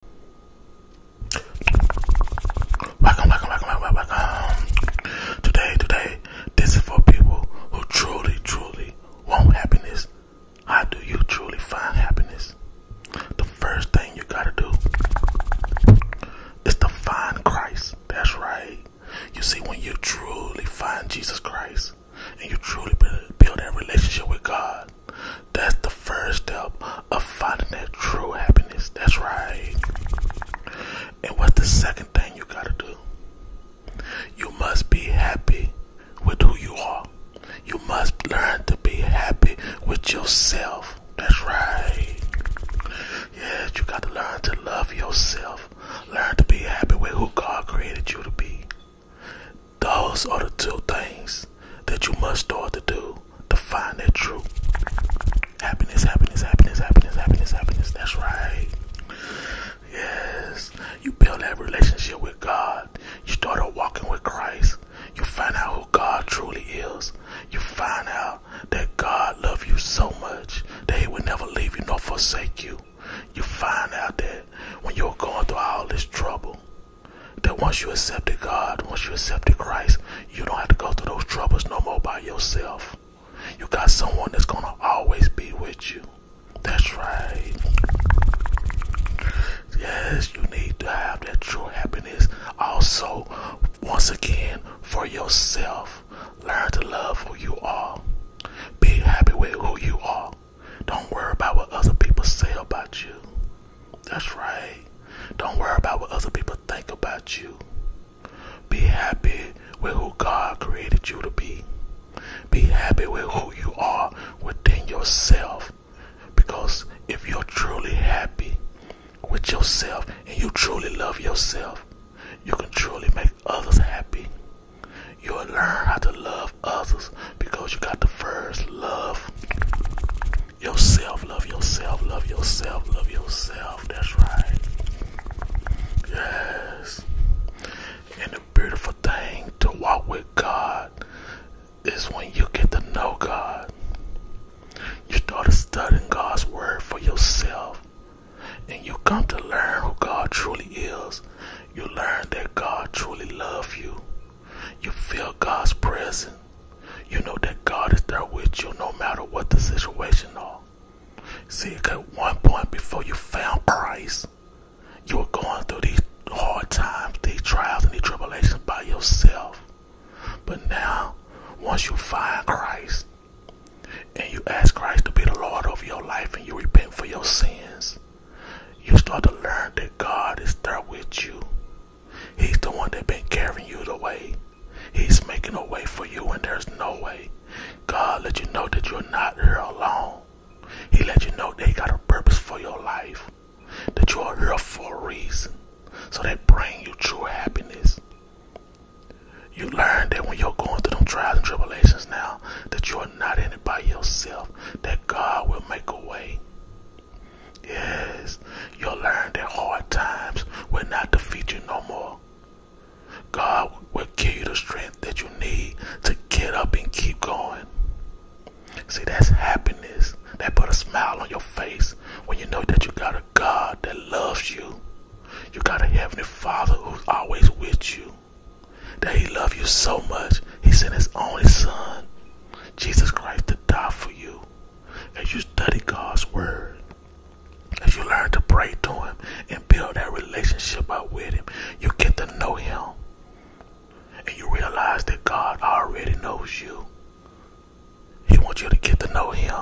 Welcome, welcome, welcome, welcome, welcome. Today, today, this is for people who truly, truly want happiness. How do you truly find happiness? The first thing you gotta do is to find Christ. That's right. You see, when you truly find Jesus Christ and you truly build that relationship with God, that's the first step of finding that true happiness. That's right. And what's the second thing you gotta do? You must be happy with who you are. You must learn to be happy with yourself. That's right. Yes, you got to learn to love yourself. Learn to be happy with who God created you to be. Those are the two things that you must start to do to find that truth. happiness, happiness, happiness, happiness, happiness, happiness. That's right. Yes. You build that relationship with God. You start walking with Christ. You find out who God truly is. You find out that God loves you so much that He will never leave you nor forsake you you find out that when you're going through all this trouble, that once you accepted God, once you accepted Christ, you don't have to go through those troubles no more by yourself. You got someone that's going to always be with you. That's right. Yes, you need to have that true happiness also, once again, for yourself. Learn to love who you are. Be happy with who you are. Don't worry about what other people say about you. That's right. Don't worry about what other people think about you. Be happy with who God created you to be. Be happy with who you are within yourself. Because if you're truly happy with yourself and you truly love yourself, you can truly make others happy. You'll learn how to love others because you got the first love yourself. Love yourself. Love yourself. Love yourself. That's right. Yes. And the beautiful thing to walk with God is when you get to know God. You start studying God's word for yourself and you come to learn who God truly is, you learn that God truly loves you. You feel God's presence. You know that God is there with you no matter what the situation are. See, at one point before you found Christ, you were going through these hard times, these trials and these tribulations by yourself. But now, once you find Christ, and you ask Christ to be the Lord of your life and you repent for your sins, you start to learn that God is there with you. He's the one that been carrying you the way. He's making a way for you when there's no way. God let you know that you're not here alone. He let you know they got a purpose for your life. That you are here for a reason. So they bring you true happiness. You learn that when you're going through them trials and tribulations now, that you are not in it by yourself, that God will make a way. Yes, you'll learn that hard times will not defeat you no more. God will give you the strength that you need to get up and keep going. See, that's happiness. That put a smile on your face when you know that you got it. God that loves you. You got a heavenly Father who's always with you. That He loves you so much, He sent His only Son, Jesus Christ, to die for you. As you study God's Word, as you learn to pray to Him and build that relationship up with Him, you get to know Him. And you realize that God already knows you. He wants you to get to know him.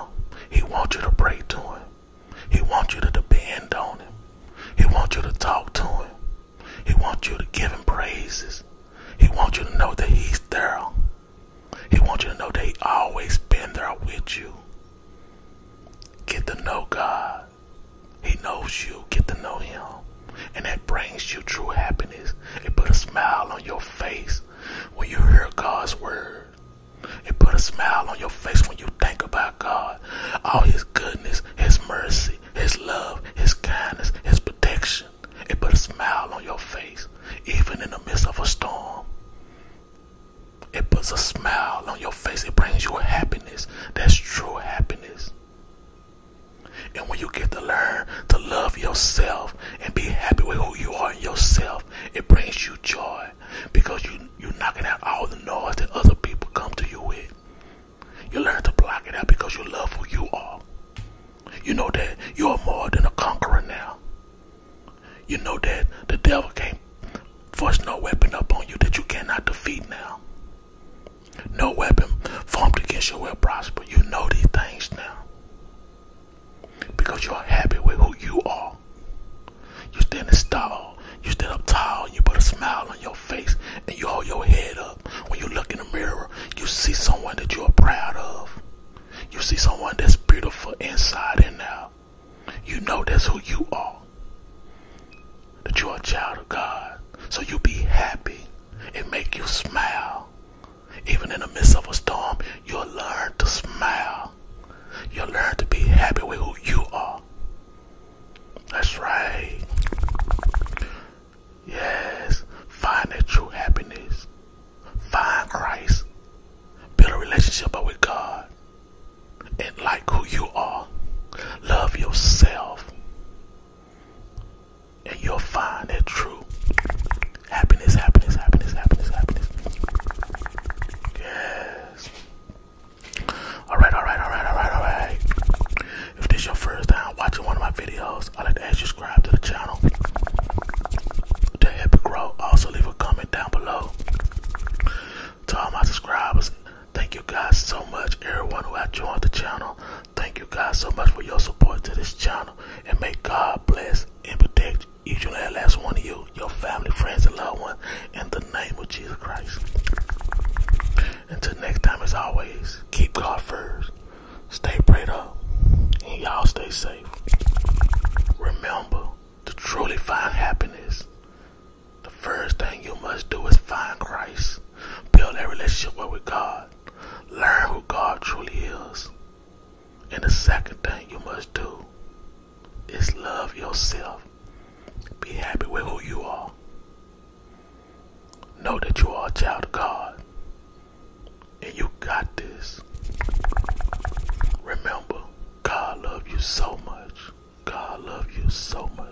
He wants you to pray to him. He wants you to depend on him. He wants you to talk to him. He wants you to give him praises. He wants you to know that he's there. He wants you to know that he always been there with you. Get to know God. He knows you. Get to know him. And that brings you true happiness. It put a smile on your face when you hear God's word. It puts a smile on your face when you think about God, all His goodness, His mercy, His love, His kindness, His protection. It puts a smile on your face, even in the midst of a storm. It puts a smile on your face. It brings you happiness. That's true happiness. And when you get to learn to love yourself and be happy with who you are yourself, it brings you joy because you you're knocking out all the noise that other people come to you with. You learn to block it out because you love who you are. You know that you are more than a conqueror now. You know that the devil can't force no weapon upon you that you cannot defeat now. No weapon formed against you will prosper. You know these things now because you're happy with who you are. You stand tall, you stand up tall, you put a smile on your face, and you hold your head up. When you look in the mirror, you see someone that you are proud of. You see someone that's beautiful inside and out. You know that's who you are. That you're a child of God. So you be happy and make you smile. Even in the midst of a storm, you'll learn to smile. You'll learn to be happy with who you are. That's right. Yes, find the true happiness. Find Christ. Build a relationship with God. And like who you are. Love yourself and you'll find it true happiness, happiness, happiness, happiness, happiness. Yes. Alright, alright, alright, alright, alright. If this your first time watching one of my videos, I'd like to ask you to subscribe to the channel to help it grow. Also leave a comment down below. To all my subscribers, thank you guys so much. Everyone who has joined the channel, Thank you guys so much for your support to this channel. And may God bless and protect each and every last one of you, your family, friends, and loved ones, in the name of Jesus Christ. Until next time, as always, keep God first, stay prayed up, and y'all stay safe. Remember to truly find happiness. The first thing you must do is find Christ. Build that relationship with God. Learn who God truly is. And the second thing you must do is love yourself. Be happy with who you are. Know that you are a child of God. And you got this. Remember, God loves you so much. God loves you so much.